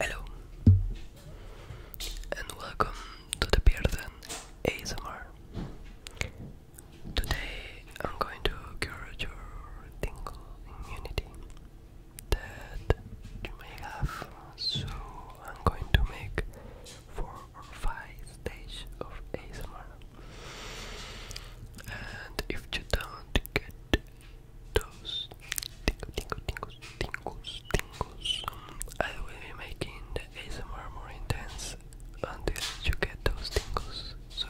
Hello and welcome to the Bearden ASMR. Today I'm going to cure your tingle immunity that you may have. So I'm going to make four or five stages of ASMR. And if you don't get toes, tinkle, tinkle, tinkles, tinkles, tinkles. I will be making the ASMR more intense until you get those tingles. So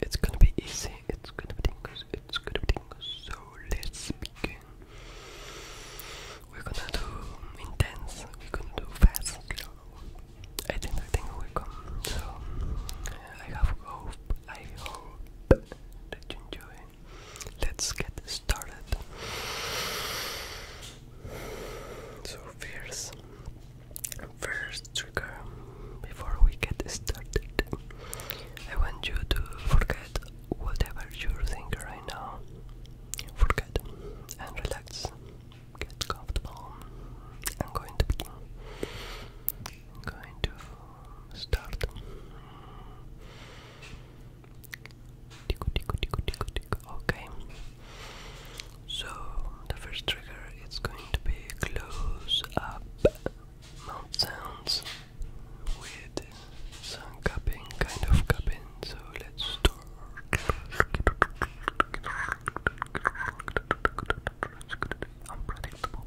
it's gonna be easy. It's gonna be tingles. It's gonna be tingles. So let's begin. We're gonna do intense. We're gonna do fast. I think I think we come. So I have go I hope you enjoy. Let's get started. So fierce. First trigger before we get started. I want you to forget whatever you're thinking right now. Forget and relax. Get comfortable. I'm going to begin going to start. Okay. So the first trigger is going to be close up mouth sounds with some cupping, kind of cupping. So let's start. Unpredictable.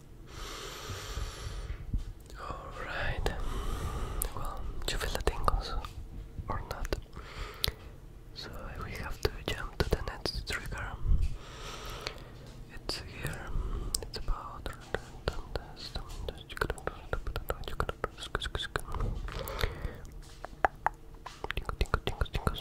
Alright. Well, do you feel the tingles or not? So we have to jump to the next trigger. It's here. It's about Tingles, tingles, tingles, tingles.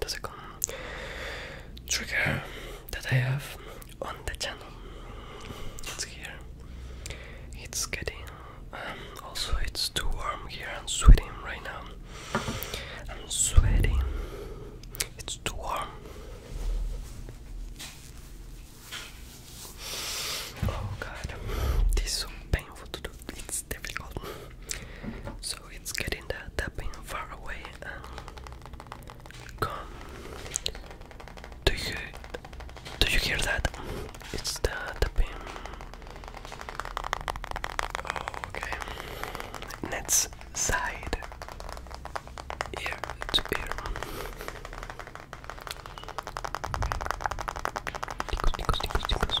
the second trigger that I have on the channel. It's here. It's getting um, also it's too warm here. I'm sweating right now. I'm sweating. It's too warm. Oh god, this is so painful to do. It's difficult. So it's getting that tapping far away Come. Do you do you hear that? It's the the oh, okay. Let's side ear to ear. Tickles, tickles, tickles, tickles.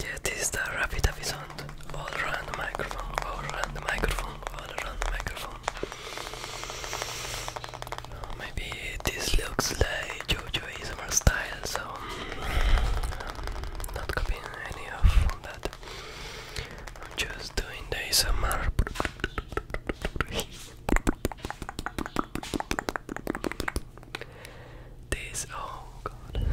Yeah, this is the rapid sound. All around the microphone, all around the microphone, all around the microphone. Oh, maybe this looks like JoJo ASMR style, so um, I'm not copying any of that. I'm just doing the ASMR. This. oh god.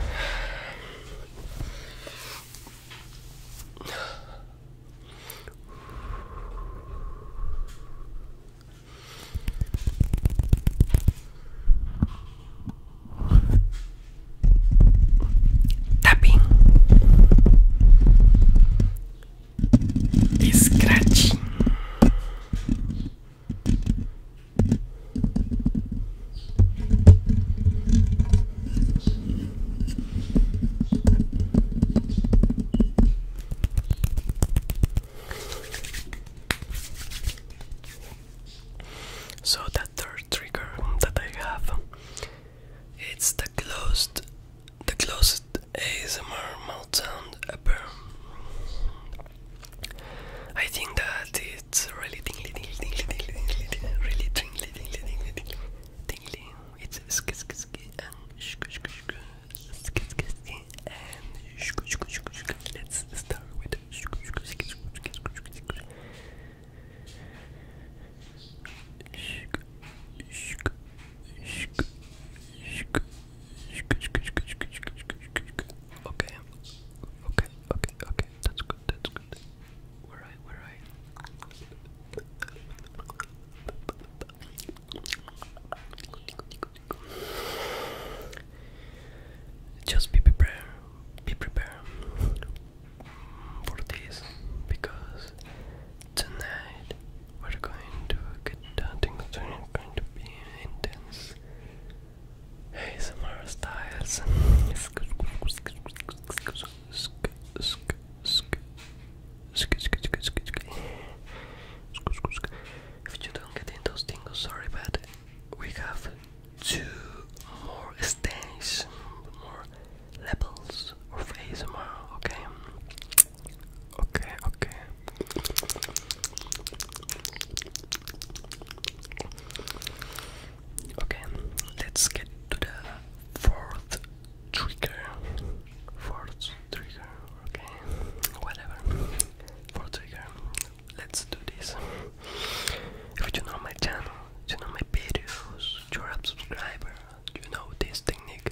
Tapping, so that third trigger that I have, it's the closed, the closest ASMR mouth sound ever. I think that it's really tingly, tingly, tingly, tingly, tingly, tingly really tingly, tingly, tingly, tingly, tingly. It's sk sk sk and sk sk sk sk sk sk and sk sk sk sk. Let's start with sk sk sk sk sk sk sk. Okay. Okay, okay, okay. That's good, that's good. We're right, we Just be prepared, be prepared for this because Tonight we're going to get dancing, so it's going to be intense. Hey, Samara Styles. If you don't get in those tingles, sorry, but we have two more stations, levels of ASMR, okay? Okay, okay. Okay, let's get to the fourth trigger. Fourth trigger, okay? Whatever. Fourth trigger. Let's do this. If you know my channel, you know my videos, you subscriber, you know this technique.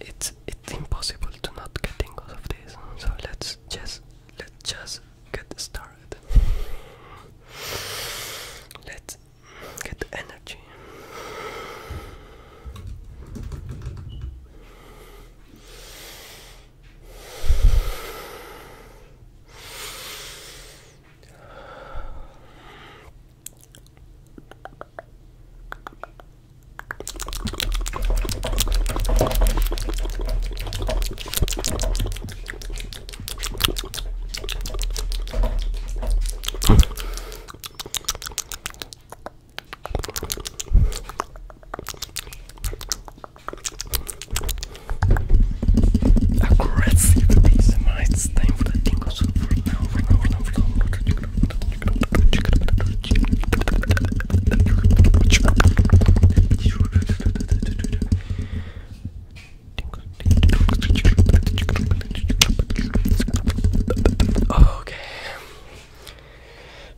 It's it's impossible to not get tingles of this. So let's just let's just get started. Let's get energy. Aggressive ASMR, it's time for the tingle Okay.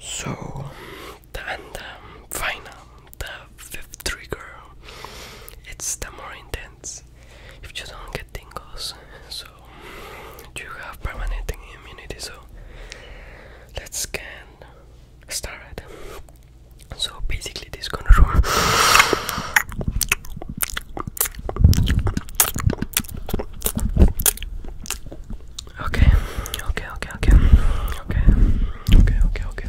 So, and final, the fifth trigger. It's the more intense if you don't get tingles so you have permanent immunity so let's scan start so basically this gonna room okay okay okay okay okay okay okay okay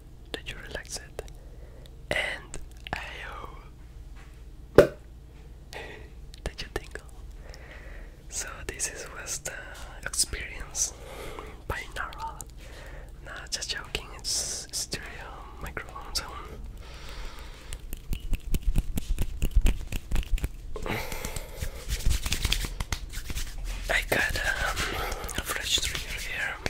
that you relax it and I hope that you tingle. So this is was the uh, experience binaural. Nah, no, just joking. It's stereo microphone I got um, a fresh trigger here.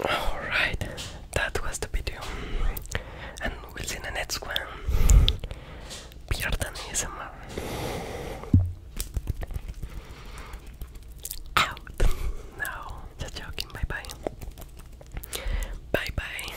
Alright, that was the video, and we'll see in the next one. Pierdan ASMR. Out. No, just joking. Bye bye. Bye bye.